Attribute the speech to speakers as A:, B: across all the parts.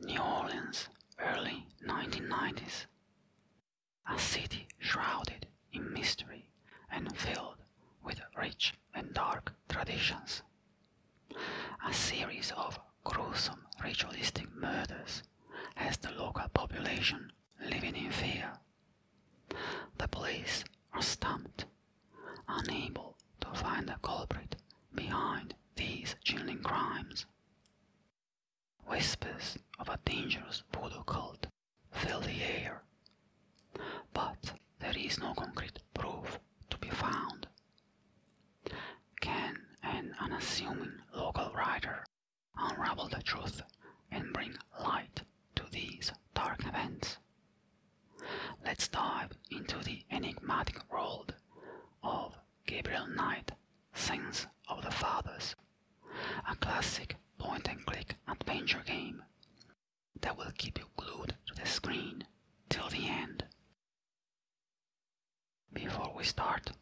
A: New Orleans, early 1990s. A city shrouded in mystery and filled with rich and dark traditions. A series of gruesome ritualistic murders has the local population living in fear. The police are stumped, unable to find the culprit behind these chilling crimes. Whispers of a dangerous voodoo cult fill the air, but there is no concrete proof to be found. Can an unassuming local writer unravel the truth and bring light to these dark events? Let's dive into the enigmatic world of Gabriel Knight, Sins of the Fathers, a classic point and click adventure game that will keep you glued to the screen till the end. Before we start,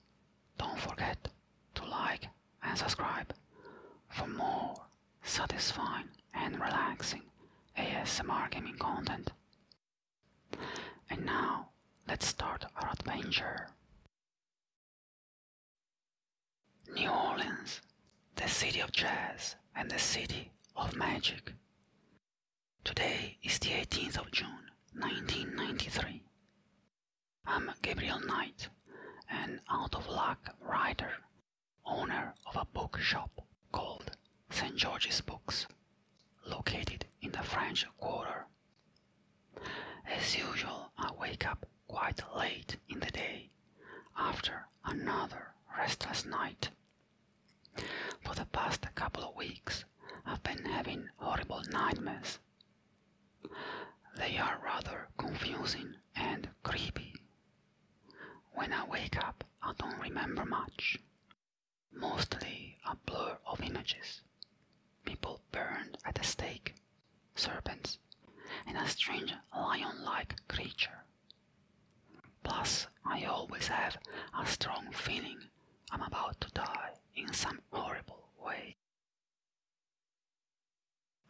A: don't forget to like and subscribe for more satisfying and relaxing ASMR gaming content. And now, let's start our adventure. New Orleans, the city of jazz and the city of magic. Today is the 18th of June, 1993. I'm Gabriel Knight, an out of luck writer, owner of a bookshop called St. George's Books, located in the French Quarter. As usual, I wake up quite late in the day after another restless night. For the past couple of weeks, I've been having horrible nightmares. They are rather confusing and creepy. When I wake up, I don't remember much mostly a blur of images. People burned at the stake, serpents, and a strange lion like creature. Plus, I always have a strong feeling I'm about to die in some horrible way.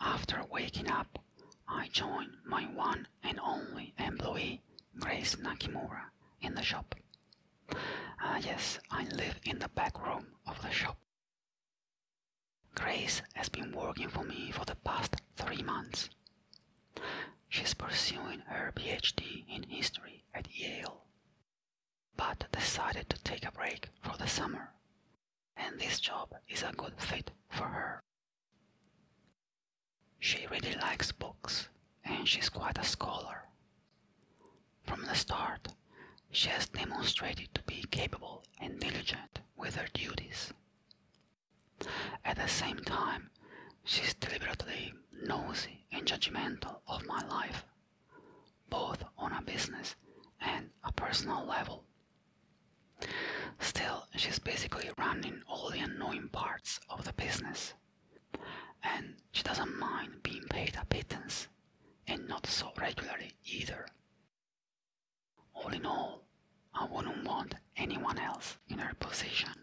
A: After waking up, I join my one and only employee, Grace Nakamura, in the shop. Ah, yes, I live in the back room of the shop. Grace has been working for me for the past three months. She's pursuing her PhD in history at Yale, but decided to take a break for the summer, and this job is a good fit for her. She really likes books and she's quite a scholar. From the start, she has demonstrated to be capable and diligent with her duties. At the same time, she's deliberately nosy and judgmental of my life, both on a business and a personal level. Still, she's basically running all the annoying parts of the business and she doesn't mind being paid a pittance, and not so regularly either. All in all, I wouldn't want anyone else in her position.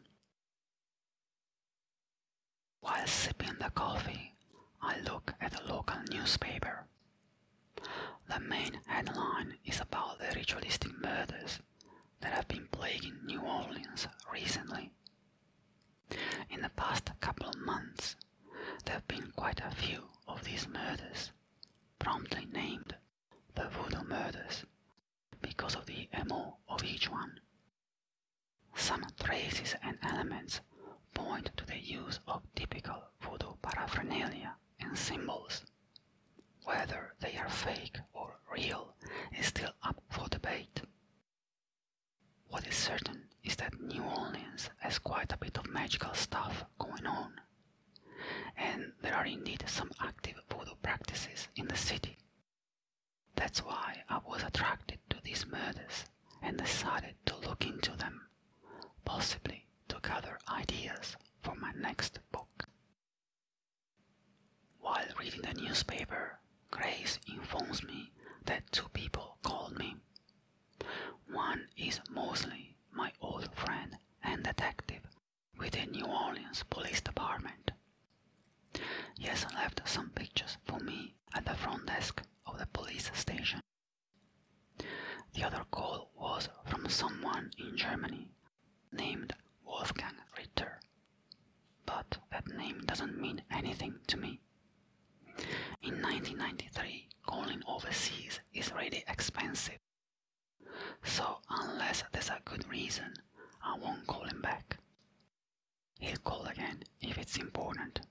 A: While sipping the coffee, I look at the local newspaper. The main headline is about the ritualistic murders that have been plaguing New Orleans recently in the past couple of months, there have been quite a few of these murders, promptly named the Voodoo Murders, because of the MO of each one. Some traces and elements point to the use of typical voodoo paraphernalia and symbols. Whether they are fake or real is still up for debate. What is certain is that New Orleans has quite a bit of magical stuff going on, and there are indeed some active voodoo practices in the city. That's why I was attracted to these murders and decided to look into them, possibly to gather ideas for my next book. While reading the newspaper, Grace informs me that two people called me. One is Mosley, my old friend and detective with the New Orleans Police Department. He has left some pictures for me at the front desk of the police station. The other call was from someone in Germany named Wolfgang Ritter. But that name doesn't mean anything to me. In 1993, calling overseas is really expensive. So, unless there's a good reason, I won't call him back. He'll call again if it's important.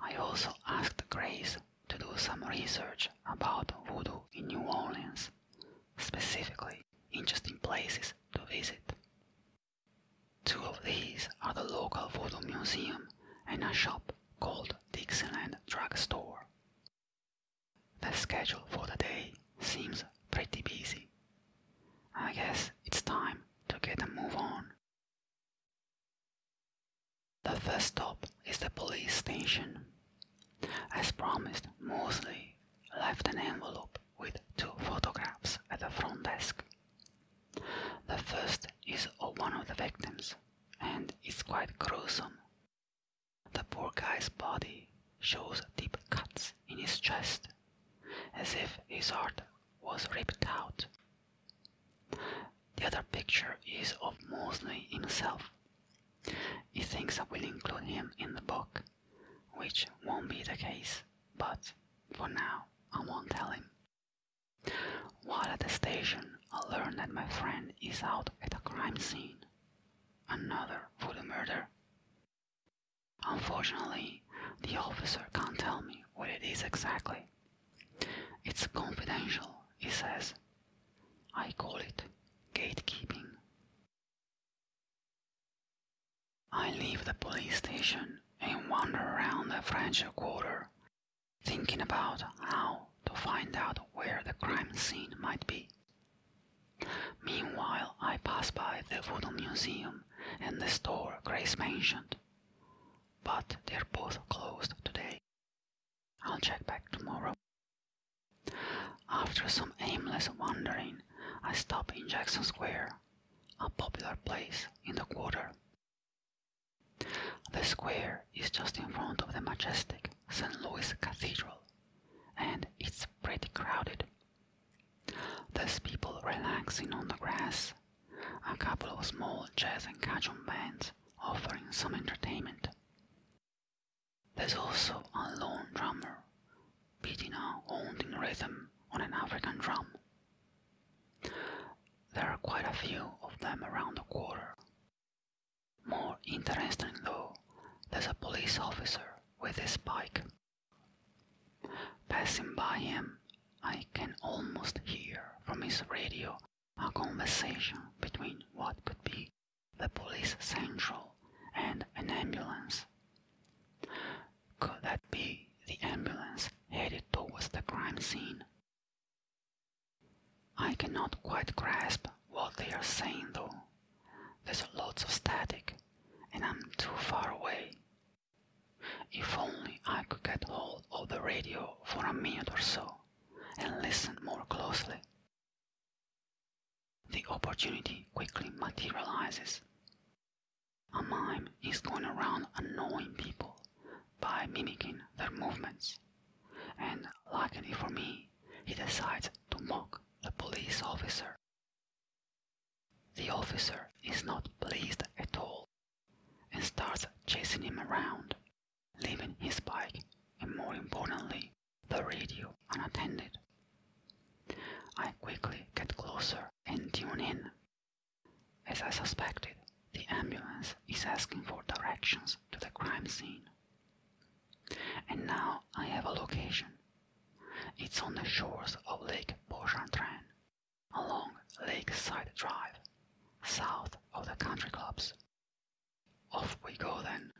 A: I also asked Grace to do some research about voodoo in New Orleans, specifically interesting places to visit. Two of these are the local photo museum and a shop called Dixieland Drug Store. The schedule for the day seems pretty busy. I guess it's time to get a move on. The first stop is the police station. As promised, Mosley left an envelope with two photographs at the front desk. The first is of one of the victims, and it's quite gruesome. The poor guy's body shows deep cuts in his chest, as if his heart was ripped out. The other picture is of Mosley himself. He thinks I will include him in the book which won't be the case, but for now I won't tell him. While at the station, I learn that my friend is out at a crime scene. Another voodoo murder. Unfortunately, the officer can't tell me what it is exactly. It's confidential, he says. I call it gatekeeping. I leave the police station and wander around the French Quarter, thinking about how to find out where the crime scene might be. Meanwhile, I pass by the Voodoo Museum and the store Grace mentioned, but they're both closed today. I'll check back tomorrow. After some aimless wandering, I stop in Jackson Square, a popular place in the quarter. The square is just in front of the majestic St. Louis Cathedral, and it's pretty crowded. There's people relaxing on the grass, a couple of small jazz and cajun bands offering some entertainment. There's also a lone drummer beating a haunting rhythm on an African drum. There are quite a few of them around the quarter. More interesting though, there's a police officer with his bike. Passing by him, I can almost hear from his radio a conversation between what could be the police central and an ambulance could that be the ambulance headed towards the crime scene? I cannot quite grasp what they are saying though. There's lots of static, and I'm too far away. If only I could get hold of the radio for a minute or so and listen more closely the opportunity quickly materializes. A mime is going around annoying people by mimicking their movements, and luckily for me, he decides to mock the police officer. The officer is not pleased at all and starts chasing him around, leaving his bike and, more importantly, the radio unattended. I quickly get closer and tune in. As I suspected, the ambulance is asking for directions to the crime scene. And now I have a location. It's on the shores of Lake Pochantran, along Lakeside Drive, south of the country clubs. Off we go then.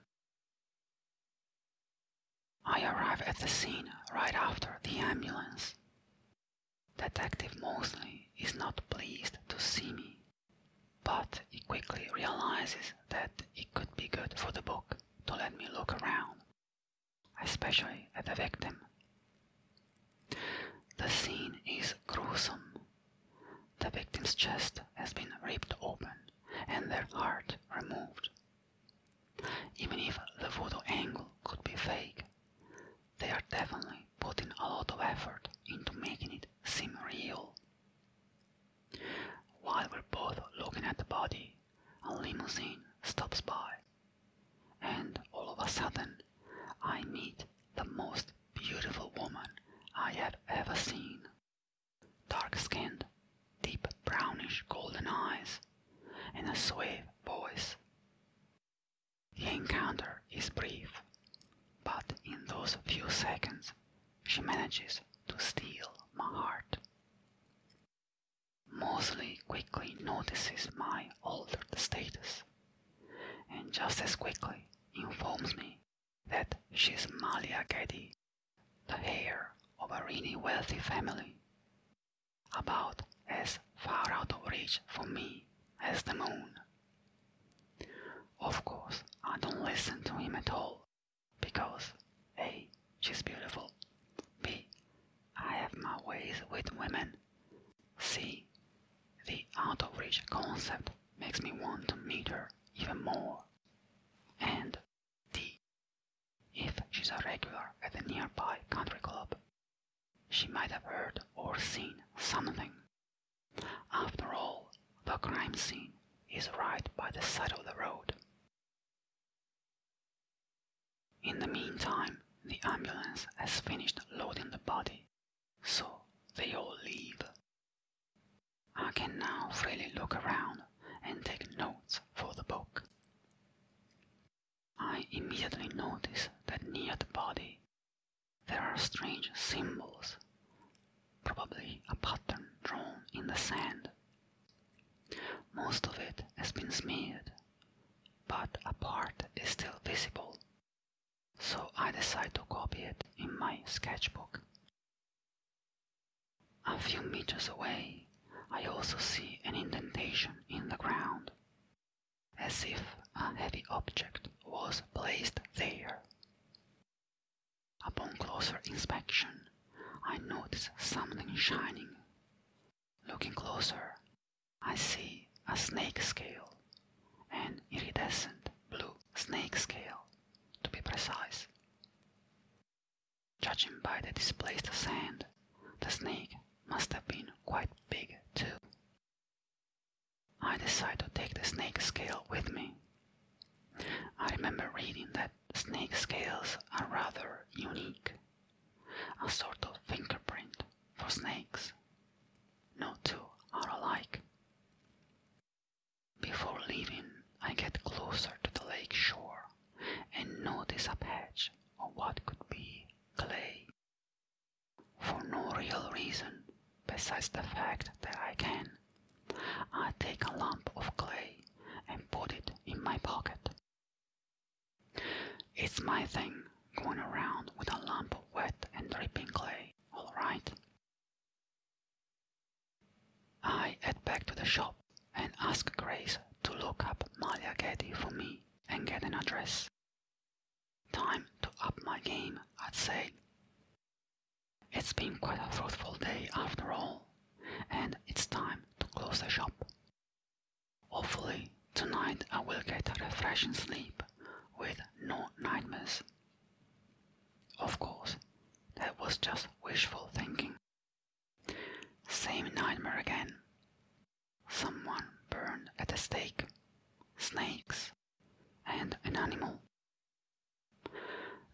A: I arrive at the scene right after the ambulance. Detective Mosley is not pleased to see me, but he quickly realizes that it could be good for the book to let me look around, especially at the victim. The scene is gruesome. The victim's chest has been ripped open and their heart removed even if the voodoo angle could be fake, they are definitely putting a lot of effort into making it seem real. While we're both looking at the body, a limousine stops by, and all of a sudden, I meet the most beautiful woman I have ever seen dark skinned, deep brownish golden eyes, and a sweet voice. The encounter is brief, but in those few seconds she manages to steal my heart. Mosley quickly notices my altered status and just as quickly informs me that she's Malia Getty the heir of a really wealthy family, about as far out of reach for me as the moon. Of course, I don't listen to him at all, because A. She's beautiful, B. I have my ways with women, C. The out of reach concept makes me want to meet her even more, and D if she's a regular at the nearby country club. She might have heard or seen something. After all, the crime scene is right by the side of the road. In the meantime, the ambulance has finished loading the body, so they all leave. I can now freely look around and take notes for the book. I immediately notice that near the body there are strange symbols, probably a pattern drawn in the sand. Most of it has been smeared, but a part is still visible, so I decide to copy it in my sketchbook. A few meters away, I also see an indentation in the ground, as if a heavy object was placed there. Upon closer inspection, I notice something shining. Looking closer, I see a snake scale, an iridescent blue snake scale, to be precise. Judging by the displaced sand, the snake must have been quite big too. I decide to take the snake scale with me. I remember reading that snake scales are rather unique, a sort of fingerprint for snakes. No two are alike. Before leaving, I get closer to the lake shore and notice a patch of what could be clay. For no real reason besides the fact that I can. I take a lump of clay and put it in my pocket. It's my thing going around with a lump of wet and dripping clay, all right? I head back to the shop and ask Grace to look up Malia Getty for me and get an address. Time to up my game, I'd say. It's been quite a fruitful day after all, and it's time to close the shop. Hopefully, tonight I will get a refreshing sleep with no nightmares. Of course, that was just wishful thinking. Same nightmare again. Someone burned at the stake, snakes, and an animal.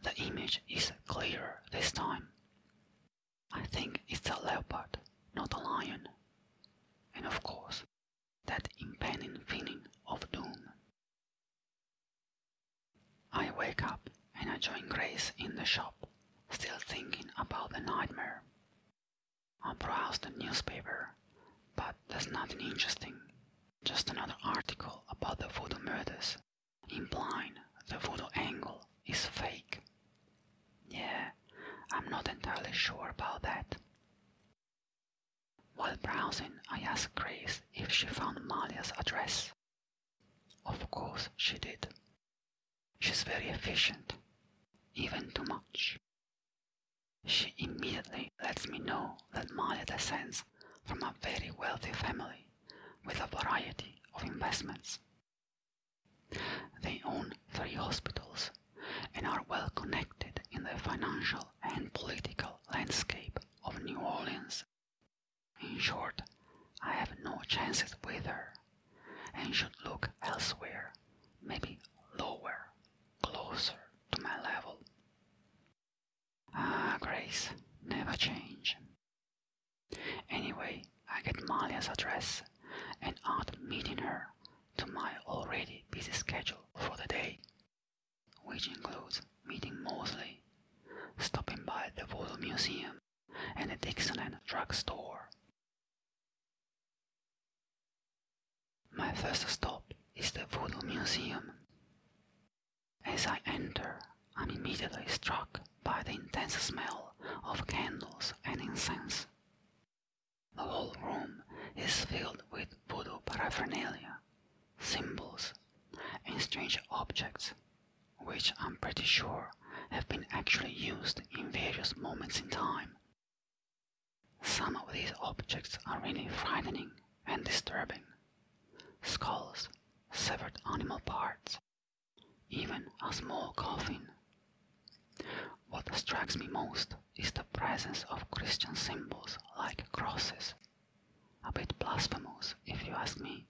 A: The image is clearer this time. I think it's a leopard, not a lion. And of course, that impending feeling of doom. I wake up and I join Grace in the shop, still thinking about the nightmare. I browse the newspaper, but there's nothing interesting. Just another article about the voodoo murders, implying the voodoo angle is fake. Yeah, I'm not entirely sure about that. While browsing, I ask Grace if she found Malia's address, of course she did. She's very efficient, even too much. She immediately lets me know that Maya descends from a very wealthy family with a variety of investments. They own three hospitals and are well connected in the financial and political landscape of New Orleans in short, I have no chances with her, and should look elsewhere, maybe lower, closer to my level. Ah, Grace, never change. Anyway, I get Malia's address and add meeting her to my already busy schedule for the day, which includes meeting Mosley, stopping by the Voodoo Museum, an addiction drug store. My first stop is the Voodoo Museum. As I enter, I'm immediately struck by the intense smell of candles and incense. The whole room is filled with voodoo paraphernalia, symbols, and strange objects which I'm pretty sure have been actually used in various moments in time. Some of these objects are really frightening and disturbing. Skulls, severed animal parts, even a small coffin. What strikes me most is the presence of Christian symbols like crosses, a bit blasphemous if you ask me,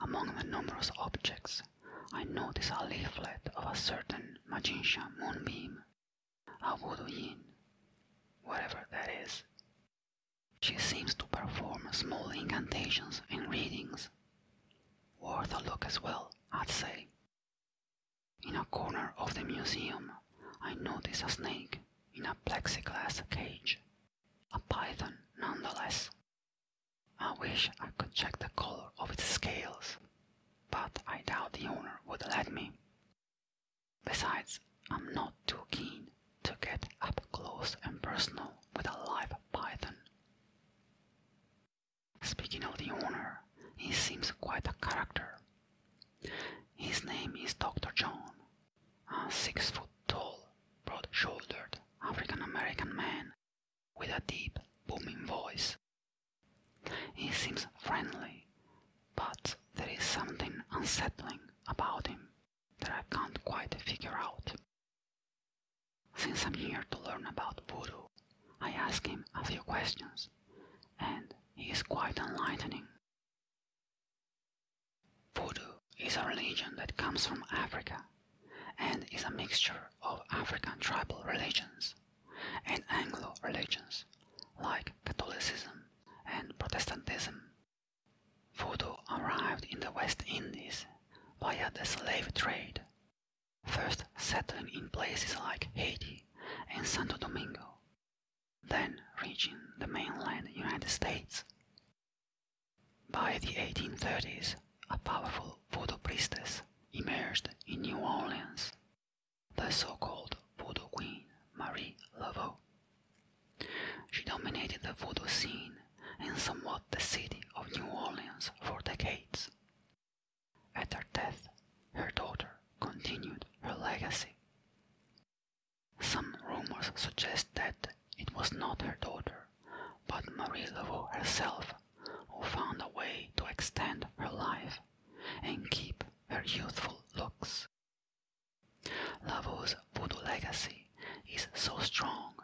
A: among the numerous objects, I notice a leaflet of a certain magician moonbeam, a voodoo yin, whatever that is. She seems to perform small incantations and readings. Worth a look as well, I'd say. In a corner of the museum, I notice a snake in a plexiglass cage a python nonetheless. I wish I could check the color of its scales, but I doubt the owner would let me. Besides, I'm not too keen to get up close and personal with a live python. Speaking of the owner, he seems quite a character. His name is Dr. John, a six foot tall, broad shouldered African American man with a deep, booming voice. He seems friendly, but there is something unsettling about him that I can't quite figure out. Since I'm here to learn about voodoo, I ask him a few questions, and he is quite enlightening. Voodoo is a religion that comes from Africa and is a mixture of African tribal religions and Anglo religions like Catholicism and Protestantism. Voodoo arrived in the West Indies via the slave trade, first settling in places like Haiti and Santo Domingo, then reaching the mainland United States. By the 1830s, a powerful voodoo priestess emerged in New Orleans, the so called voodoo queen Marie Laveau. She dominated the voodoo scene and somewhat the city of New Orleans for decades. At her death, her daughter continued her legacy. Some rumors suggest that it was not her daughter, but Marie Laveau herself who found a way to extend her life and keep her youthful looks. Laveau's voodoo legacy is so strong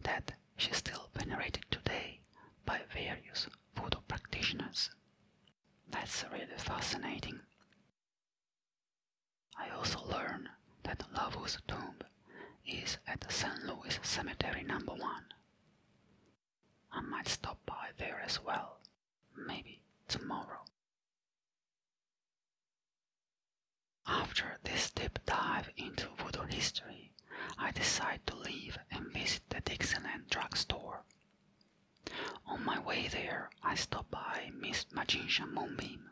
A: that she is still venerated today by various voodoo practitioners. That's really fascinating. I also learned that Lavu's tomb is at Saint Louis Cemetery number 1. I might stop by there as well, maybe tomorrow. After this deep dive into voodoo history, I decide to leave and visit the Dixie Land Drug Store. On my way there, I stop by Miss Magician Moonbeam,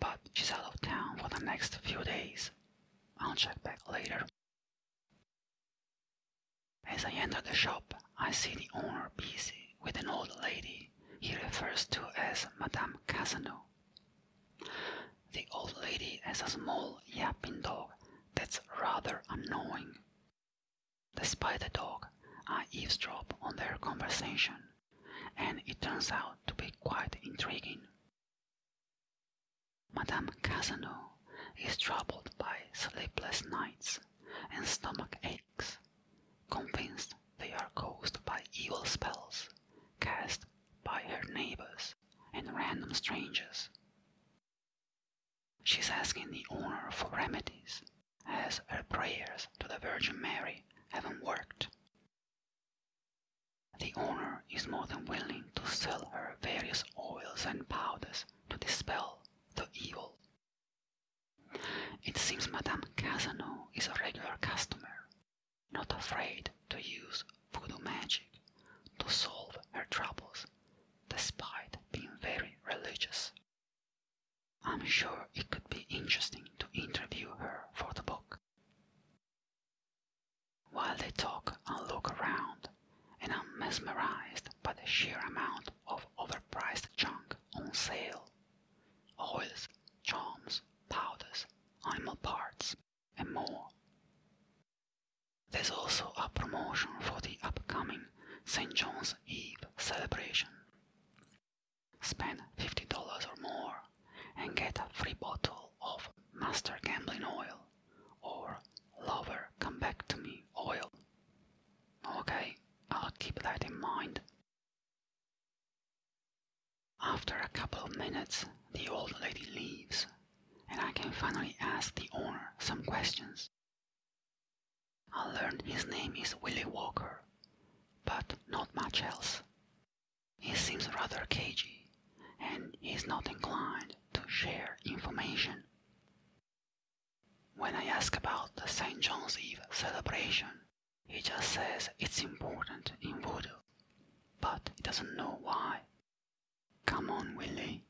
A: but she's out of town for the next few days. I'll check back later. As I enter the shop, I see the owner busy with an old lady he refers to as Madame Casano. The old lady has a small yapping dog that's rather annoying. Despite the dog, I eavesdrop on their conversation and it turns out to be quite intriguing. Madame Casanova is troubled by sleepless nights and stomach aches, convinced they are caused by evil spells cast by her neighbors and random strangers. She's asking the owner for remedies as her prayers to the Virgin Mary haven't worked. The owner is more than willing to sell her various oils and powders to dispel the evil. It seems Madame Casano is a regular customer, not afraid to use voodoo magic to solve her troubles, despite being very religious. I'm sure it could be interesting to interview her for the book. While they talk, I look around, and I'm mesmerized by the sheer amount of overpriced junk on sale oils, charms, powders, animal parts, and more. There's also a promotion for the upcoming St. John's Eve celebration. Spend $50 or more and get a free bottle of Master Gambling Oil or Lover Come Back to Me Oil. Okay, I'll keep that in mind. After a couple of minutes, the old lady leaves, and I can finally ask the owner some questions. I learned his name is Willie Walker, but not much else. He seems rather cagey, and he is not inclined to share information. When I ask about the St. John's Eve celebration, he just says it's important in voodoo, but he doesn't know why. Come on, Willie,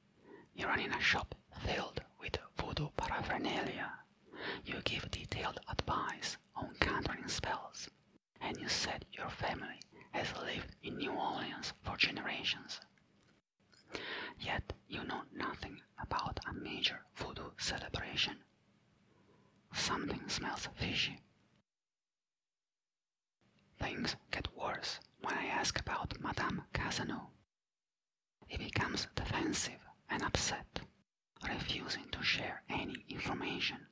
A: you're in a shop filled with voodoo paraphernalia you give detailed advice on countering spells, and you said your family has lived in New Orleans for generations. Yet you know nothing about a major voodoo celebration. Something smells fishy. Things get worse when I ask about Madame Casanova. He becomes defensive and upset, refusing to share any information.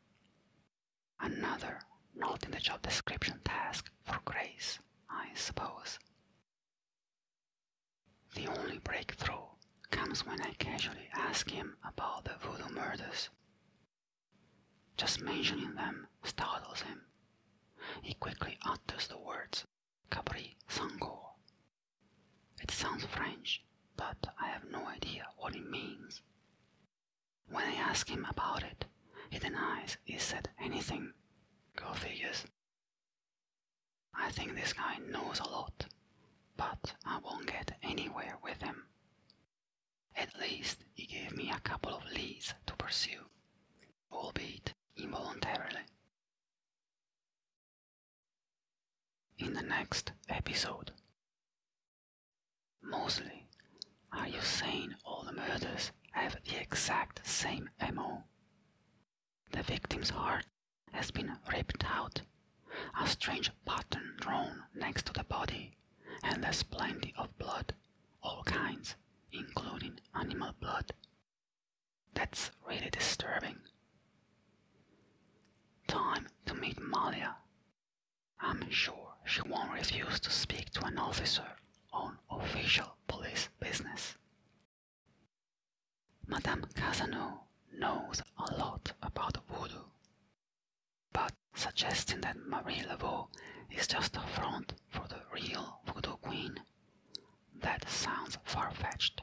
A: Another not in the job description task for Grace, I suppose. The only breakthrough comes when I casually ask him about the voodoo murders. Just mentioning them startles him. He quickly utters the words Kabri Sangor it sounds French, but I have no idea what it means. When I ask him about it, he denies he said anything. Go figures. I think this guy knows a lot, but I won't get anywhere with him. At least he gave me a couple of leads to pursue, albeit involuntarily in the next episode. Mostly, are you saying all the murders have the exact same MO? The victim's heart has been ripped out, a strange pattern drawn next to the body, and there's plenty of blood, all kinds, including animal blood. That's really disturbing. Time to meet Malia. I'm sure she won't refuse to speak to an officer on official police business. Madame Casanova knows a lot about voodoo, but suggesting that Marie Laveau is just a front for the real voodoo queen, that sounds far-fetched.